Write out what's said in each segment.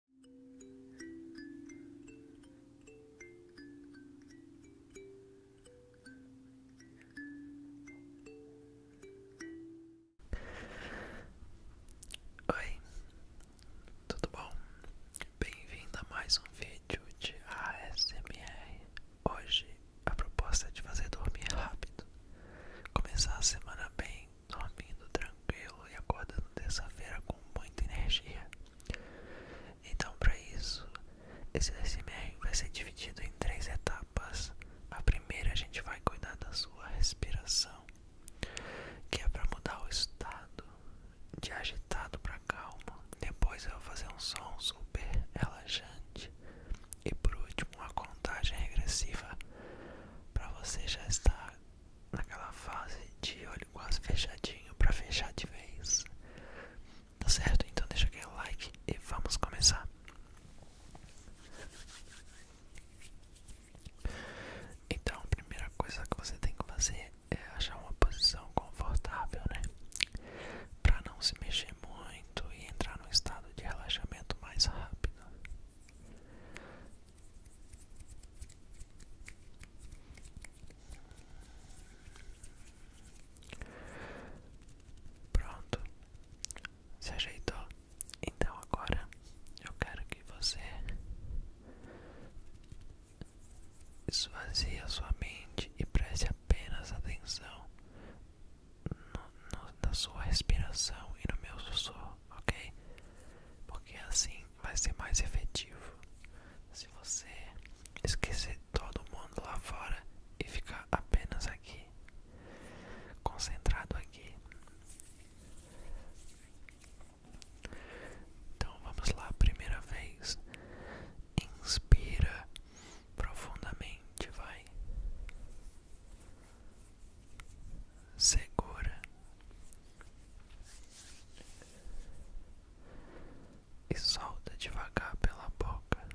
Oi, tudo bom? Bem-vindo a mais um vídeo de ASMR. Hoje a proposta é de fazer dormir rápido, começar a semana bem dormindo tranquilo e acordando terça-feira com muita energia. Então, para isso, esse SMR vai ser dividido em três etapas. A primeira, a gente vai cuidar da sua respiração, que é para mudar o estado de agitado para calmo. Depois, eu vou fazer um som super relaxante. E por último, uma contagem regressiva para você já estar naquela fase de olho quase fechadinho para fechar de vez. Tá certo? Então deixa aquele like e vamos começar. Então, a primeira coisa que você tem que fazer é achar uma posição confortável, né? Para não se mexer muito e entrar num estado de relaxamento mais rápido. Pronto, se ajeitou. Então agora eu quero que você esvazie a sua mente e preste apenas atenção na sua respiração e no meu sussurro ok? Porque assim vai ser mais efetivo. Se você esquecer todo mundo lá fora e ficar apenas aqui, concentrado aqui. Então vamos lá, primeira vez. Inspira profundamente, vai segura e solta devagar pela boca.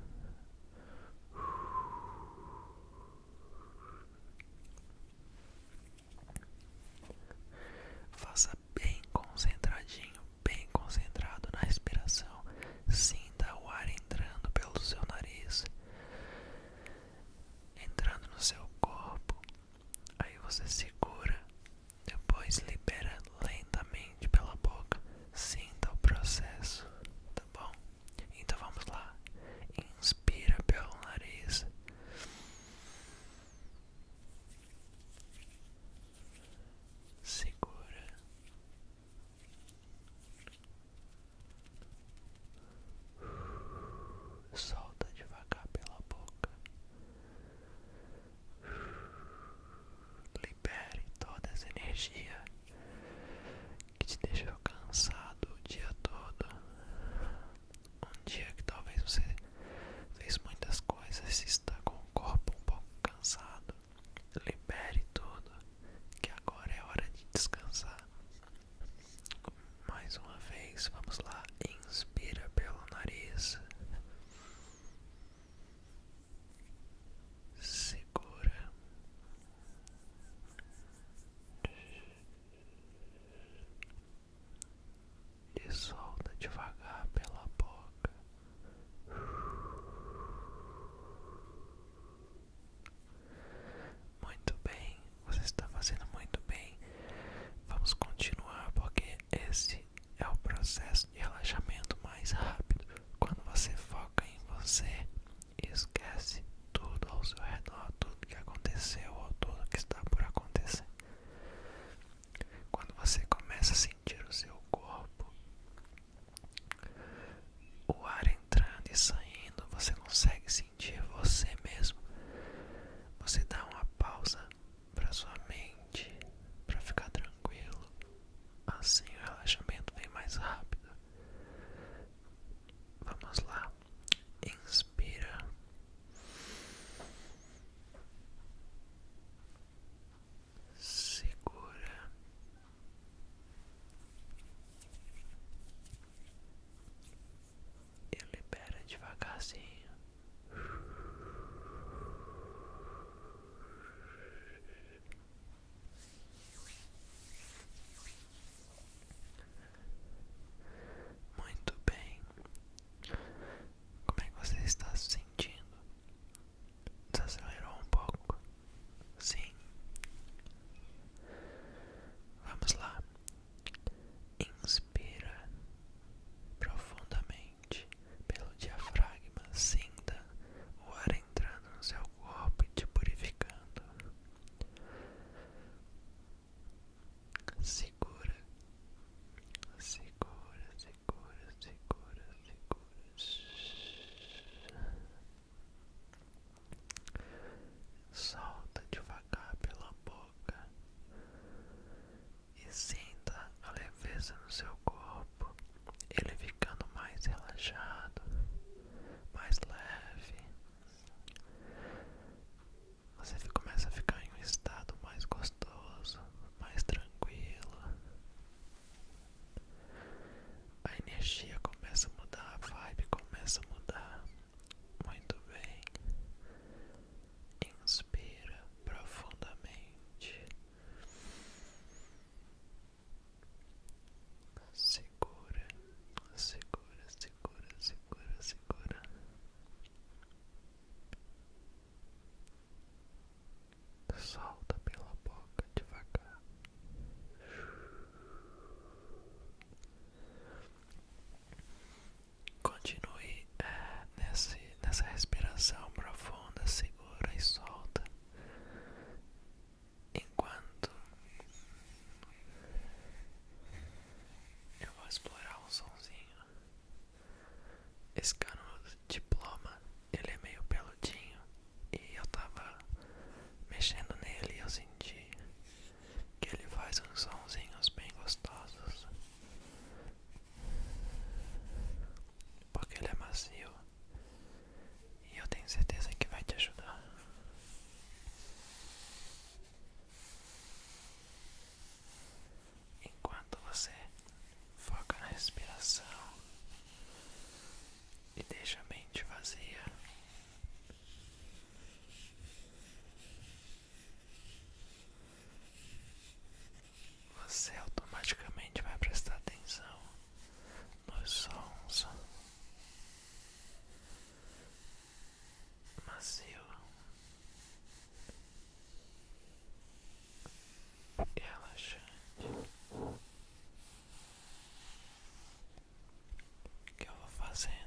Faça bem concentradinho, bem concentrado na respiração. Sinta o ar entrando pelo seu nariz, entrando no seu corpo, Aí você segura, depois libera lentamente pela boca. Sinta o processo, tá bom? Então vamos lá. Inspira pelo nariz. Segura solta devagar pela boca. Libere toda essa energia que te deixou cansado o dia todo. Um dia que talvez você fez muitas coisas e está com o corpo um pouco cansado. Libere tudo, que agora é hora de descansar. Mais uma vez, vamos lá. Inspira pelo nariz. Segura. E solta devagar pela boca. Muito bem, você está fazendo muito bem. Vamos continuar porque esse é o processo de relaxamento mais rápido. Quando você foca em você, esquece tudo ao seu redor, tudo que aconteceu ou tudo que está por acontecer. Quando você começa a sentir o seu corpo, o ar entrando e saindo, você consegue sentir você mesmo. Você dá uma pausa para sua mente, para ficar tranquilo. Assim o relaxamento vem mais rápido. Vamos lá. Inspira. Segura e libera devagarzinho. Muito bem. Como é que você está se sentindo? Desacelerou um pouco? Sim. Vamos lá. Inspira profundamente pelo diafragma, sinta o ar entrando no seu corpo e te purificando. Segura, segura, segura, segura, segura. Solta devagar pela boca e sinta a leveza no seu corpo, ele ficando mais relaxado, mais leve. Você começa a ficar em um estado mais gostoso, mais tranquilo. A energia começa a mudar, a vibe começa a mudar. Muito bem inspira profundamente, segura, segura, segura, segura, segura. Solta pela boca devagar. Continue é, nessa respiração profunda, segura e solta, enquanto eu vou explorar um sonzinho. Esse canudo diploma, ele é meio peludinho e eu tava mexendo nele e eu senti que ele faz uns sonzinhos bem gostosos porque ele é macio e eu tenho certeza que vai te ajudar. Enquanto você foca na respiração e deixa a mente vazia, você automaticamente vai prestar atenção nos sons macio e relaxante que eu vou fazendo.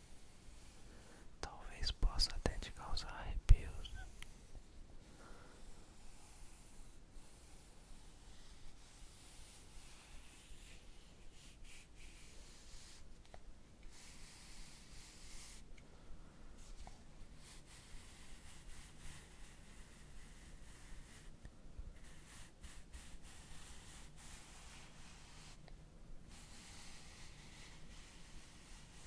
Talvez possa até te causar arrepios.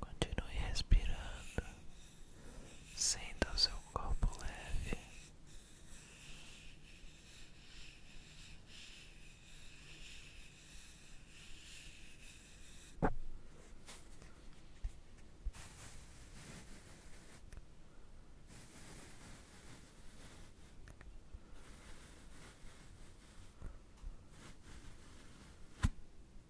Continue respirando, sinta o seu corpo leve.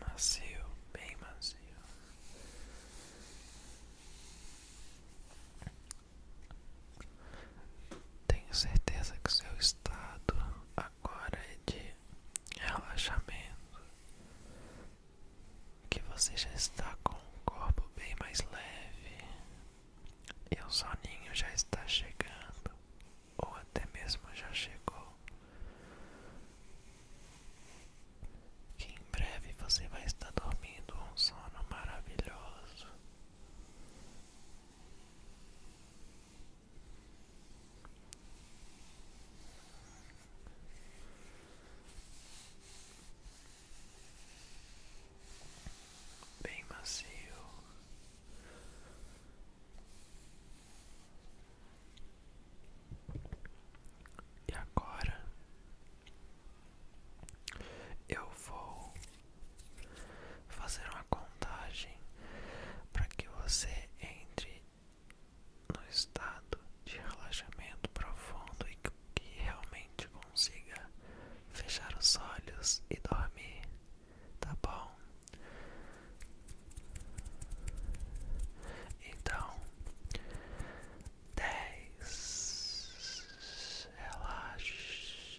macio, bem macio. Tenho certeza que seu estado agora é de relaxamento, que você já está com o corpo bem mais leve e o soninho já está chegando, ou até mesmo já chegou. Que em breve você vai estar dormindo um sono maravilhoso bem macio. E agora eu vou fazer uma contagem para que você entre no estado de relaxamento profundo e que realmente consiga fechar os olhos e dormir, tá bom? Então, dez, relaxe,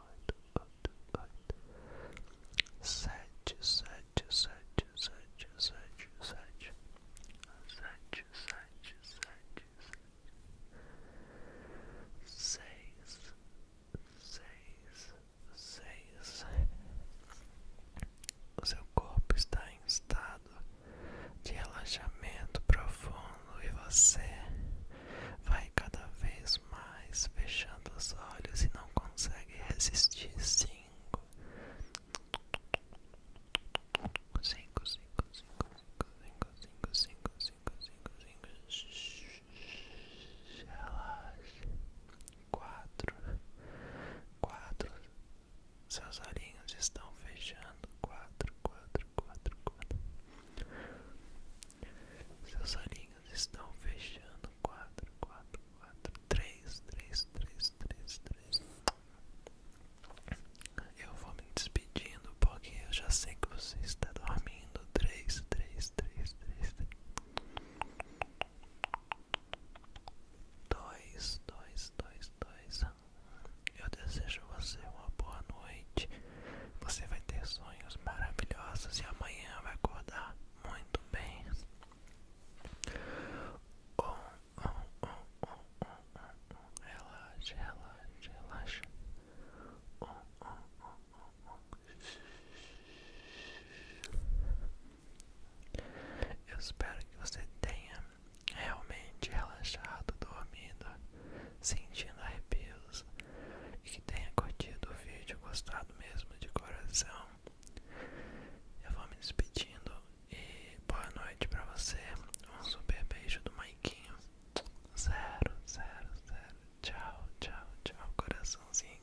oito, oito, oito, sete, sete, sete, sete, sete, sete, sete, sete, sete, seis, seis, seis. O seu corpo está em estado de relaxamento profundo e você vai cada vez mais fechando os olhos e não consegue resistir. Cinco, cinco, cinco, cinco, cinco, cinco, cinco, cinco, cinco, cinco, cinco. Relaxe. Quatro, quatro. Seus olhinhos estão fechando. Quatro, quatro, quatro, quatro. Seus olhinhos estão fechando. 4, 4, 4, 3, 3, 3, 3, 3. Eu vou me despedindo porque eu já sei que você está dormindo. 3, 3, 3, 3, 3. 2, 2, 2, 2. Eu desejo a você uma boa noite. Você vai ter sonhos maravilhosos e amanhã vai acordar muito bem. Oh oh oh, oh, oh, oh, Relaxa, relaxa, relaxa. Eu espero que você tenha realmente relaxado, dormido, sentindo arrepios e que tenha curtido o vídeo, gostado obrigado mesmo de coração. Eu vou me despedindo e boa noite pra você. Um super beijo do Maikinho. Zero, zero, zero. Tchau, tchau, tchau, coraçãozinho.